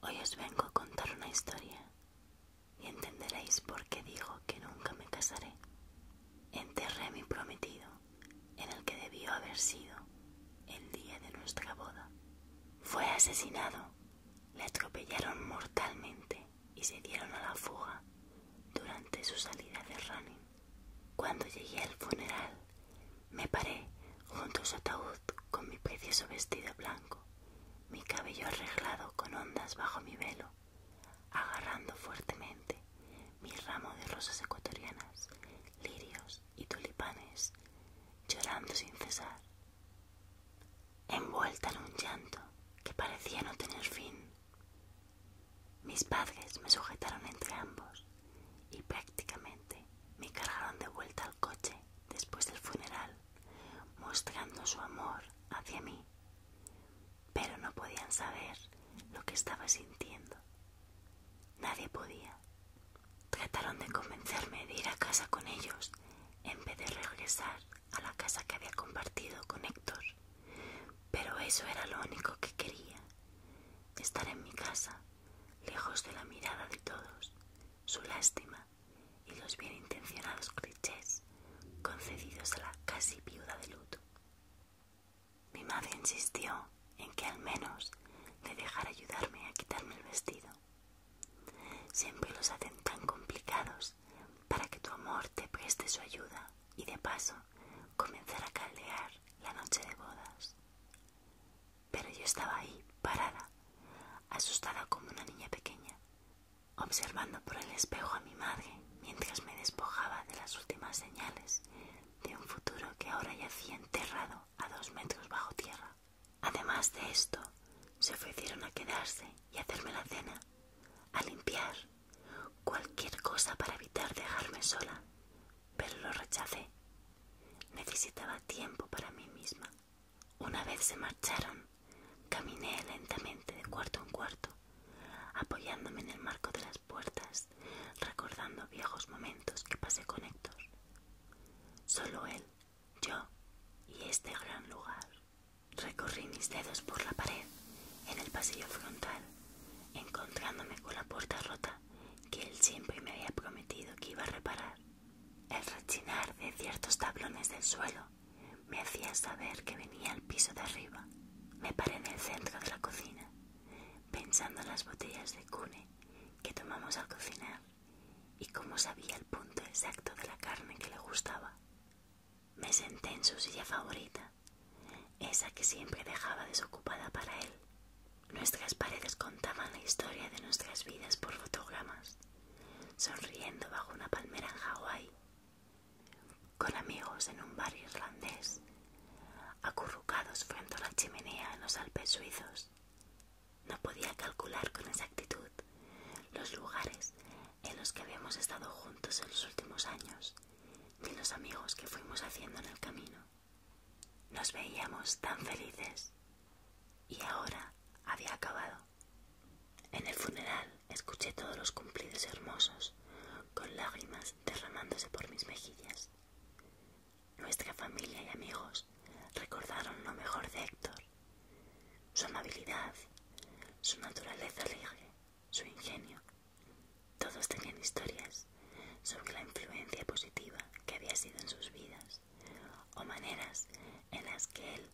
Hoy os vengo a contar una historia y entenderéis por qué digo que nunca me casaré. Enterré a mi prometido en el que debió haber sido el día de nuestra boda. Fue asesinado, le atropellaron mortalmente y se dieron a la fuga durante su salida de Running. Cuando llegué al funeral, me paré junto a su ataúd con mi precioso vestido blanco, mi cabello arreglado con ondas bajo mi velo, agarrando fuertemente mi ramo de rosas ecuatorianas, lirios y tulipanes, llorando sin cesar, envuelta en un llanto que parecía no tener fin. Mis padres me sujetaron entre ambos y prácticamente me cargaron de vuelta al coche después del funeral, mostrando su amor hacia mí, pero no podían saber lo que estaba sintiendo. Nadie podía. Trataron de convencerme de ir a casa con ellos en vez de regresar a la casa que había compartido con Héctor, pero eso era lo único que quería, estar en mi casa, lejos de la mirada de todos su lástima y los bien intencionados clichés concedidos a la casi viuda de luto. Mi madre insistió en que al menos le dejara ayudarme a quitarme el vestido. Siempre los hacen tan complicados para que tu amor te preste su ayuda y de paso comenzar a caldear la noche de bodas. Pero yo estaba ahí, parada, asustada como una niña pequeña, observando por el espejo a mi madre mientras me despojaba de las últimas señales de un futuro que ahora yacía enterrado a dos metros bajo tierra. Además de esto, se ofrecieron a quedarse y hacerme la cena, a limpiar, cualquier cosa para evitar dejarme sola, pero lo rechacé. Necesitaba tiempo para mí misma. Una vez se marcharon, caminé lentamente de cuarto en cuarto, apoyándome en el marco de las puertas, recordando viejos momentos que pasé con Héctor. Solo él, yo y este gran lugar. Recorrí mis dedos por la pared, en el pasillo frontal, encontrándome con la puerta rota que él siempre me había prometido que iba a reparar. El rechinar de ciertos tablones del suelo me hacía saber que venía al piso de arriba. Me paré en el centro de la cocina, pensando en las botellas de cune que tomamos al cocinar y cómo sabía el punto exacto de la carne que le gustaba. Me senté en su silla favorita, esa que siempre dejaba desocupada para él, Nuestras paredes contaban la historia de nuestras vidas por fotogramas, sonriendo bajo una palmera en Hawái, con amigos en un bar irlandés, acurrucados frente a la chimenea en los Alpes suizos. No podía calcular con exactitud los lugares en los que habíamos estado juntos en los últimos años ni los amigos que fuimos haciendo en el camino. Nos veíamos tan felices y ahora había acabado. En el funeral escuché todos los cumplidos hermosos, con lágrimas derramándose por mis mejillas. Nuestra familia y amigos recordaron lo mejor de Héctor, su amabilidad, su naturaleza alegre, su ingenio. Todos tenían historias sobre la influencia positiva que había sido en sus vidas o maneras en las que él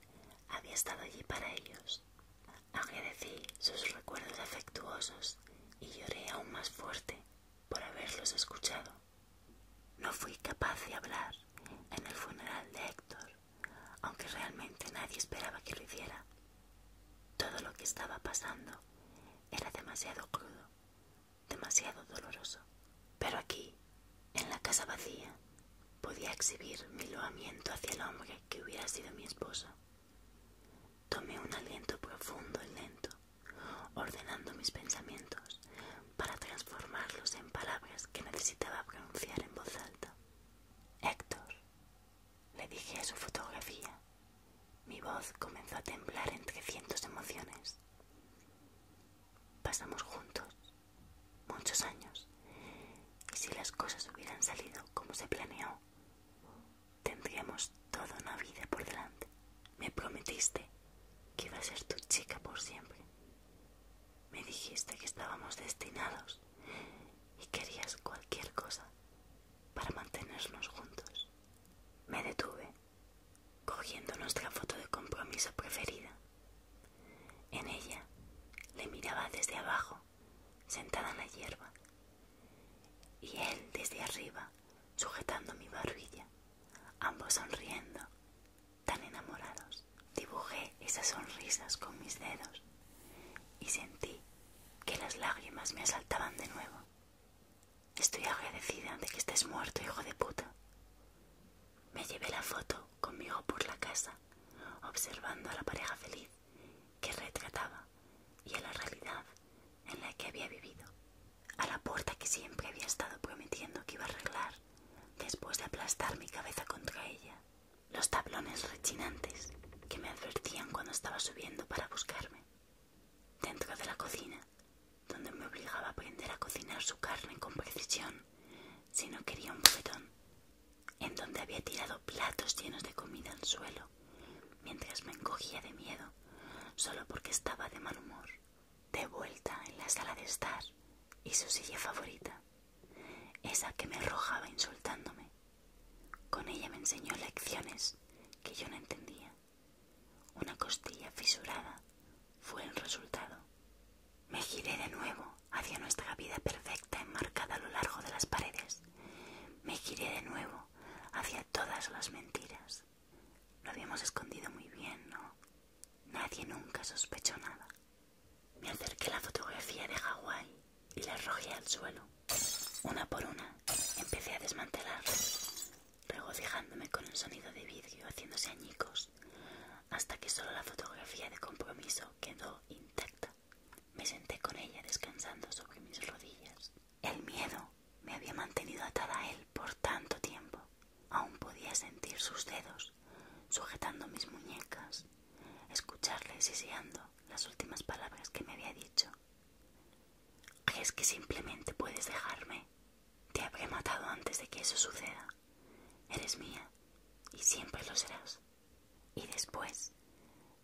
había estado allí para ellos. Agradecí sus recuerdos afectuosos y lloré aún más fuerte por haberlos escuchado. No fui capaz de hablar en el funeral de Héctor, aunque realmente nadie esperaba que lo hiciera. Todo lo que estaba pasando era demasiado crudo demasiado doloroso. Pero aquí, en la casa vacía, podía exhibir mi loamiento hacia el hombre que hubiera sido mi esposo. Tomé un aliento profundo y lento, ordenando mis pensamientos para transformarlos en palabras que necesitaba pronunciar en voz alta. Héctor, le dije a su fotografía. Mi voz comenzó a temblar entre cientos de emociones. Pasamos juntos muchos años y si las cosas hubieran salido como se planeó, tendríamos toda una vida por delante. Me prometiste que iba a ser tu chica por siempre. Me dijiste que estábamos destinados y querías cualquier cosa para mantenernos juntos. Me detuve cogiendo nuestra foto de compromiso preferida. En ella le miraba desde abajo, sentada en la hierba, y él desde arriba, sujetando mi barbilla, ambos sonriendo, tan enamorados. Dibujé esas sonrisas con mis dedos y sentí que las lágrimas me asaltaban de nuevo. Estoy agradecida de que estés muerto, hijo de puta. Me llevé la foto conmigo por la casa, observando a la pareja feliz que retrataba y a la realidad en la que había vivido, a la puerta que siempre había estado prometiendo que iba a arreglar después de aplastar mi cabeza contra ella, los tablones rechinantes que me advertían cuando estaba subiendo para buscarme, dentro de la cocina donde me obligaba a aprender a cocinar su carne con precisión si no quería un bofetón, en donde había tirado platos llenos de comida al suelo, mientras me encogía de miedo, solo porque estaba de mal humor, de vuelta en la sala de estar y su silla favorita, esa que me arrojaba insultándome. Con ella me enseñó lecciones que yo no entendía. Una costilla fisurada fue el resultado. Me giré de nuevo hacia nuestra vida perfecta enmarcada a lo largo de las paredes. Me giré de nuevo hacia todas las mentiras. Lo habíamos escondido muy bien, ¿no? Nadie nunca sospechó nada. Me acerqué a la fotografía de Hawái y la arrojé al suelo. Una por una empecé a desmantelarla, regocijándome con el sonido de vidrio haciéndose añicos, hasta que solo la fotografía de compromiso quedó intacta. Me senté con ella descansando sobre mis rodillas. El miedo me había mantenido atada a él por tanto tiempo. Aún podía sentir sus dedos sujetando mis muñecas, escucharle siseando las últimas palabras que me había dicho. ¿Crees que simplemente puedes dejarme? Te habré matado antes de que eso suceda. Eres mía y siempre lo serás. Y después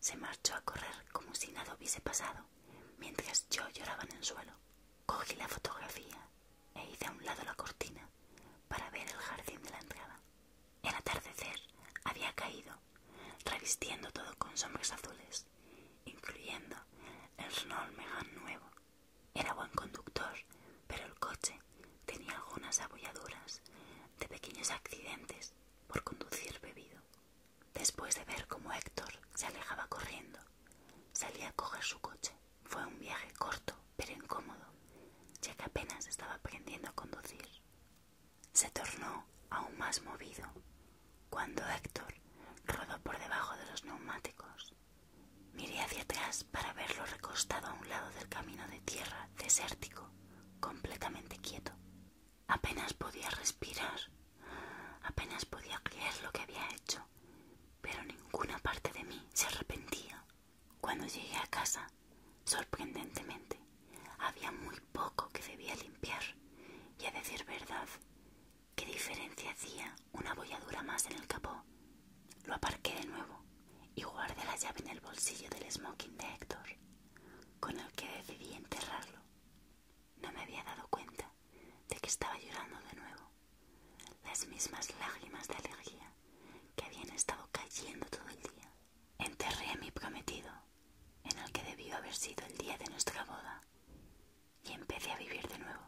se marchó a correr como si nada hubiese pasado, mientras yo lloraba en el suelo. Cogí la fotografía e hice a un lado la cortina para ver el jardín de la entrada. El atardecer había caído, revistiendo todo con sombras azules, incluyendo el Renault nuevo era buen conductor, pero el coche tenía algunas abolladuras de pequeños accidentes por conducir bebido. Después de ver cómo Héctor se alejaba corriendo, salía a coger su coche. Fue un viaje corto, pero incómodo, ya que apenas estaba aprendiendo a conducir. Se tornó aún más movido cuando Héctor rodó por debajo de los neumáticos Miré hacia atrás para verlo recostado a un lado del camino de tierra, desértico, completamente quieto. Apenas podía respirar, apenas podía creer lo que había hecho, pero ninguna parte de mí se arrepentía. Cuando llegué a casa, sorprendentemente, había muy poco que debía limpiar, y a decir verdad, ¿qué diferencia hacía una bolladura más en el capó. Lo aparqué de nuevo y guardé la llave en el bolsillo del smoking de Héctor, con el que decidí enterrarlo. No me había dado cuenta de que estaba llorando de nuevo, las mismas lágrimas de alegría que habían estado cayendo todo el día. Enterré a mi prometido, en el que debió haber sido el día de nuestra boda, y empecé a vivir de nuevo.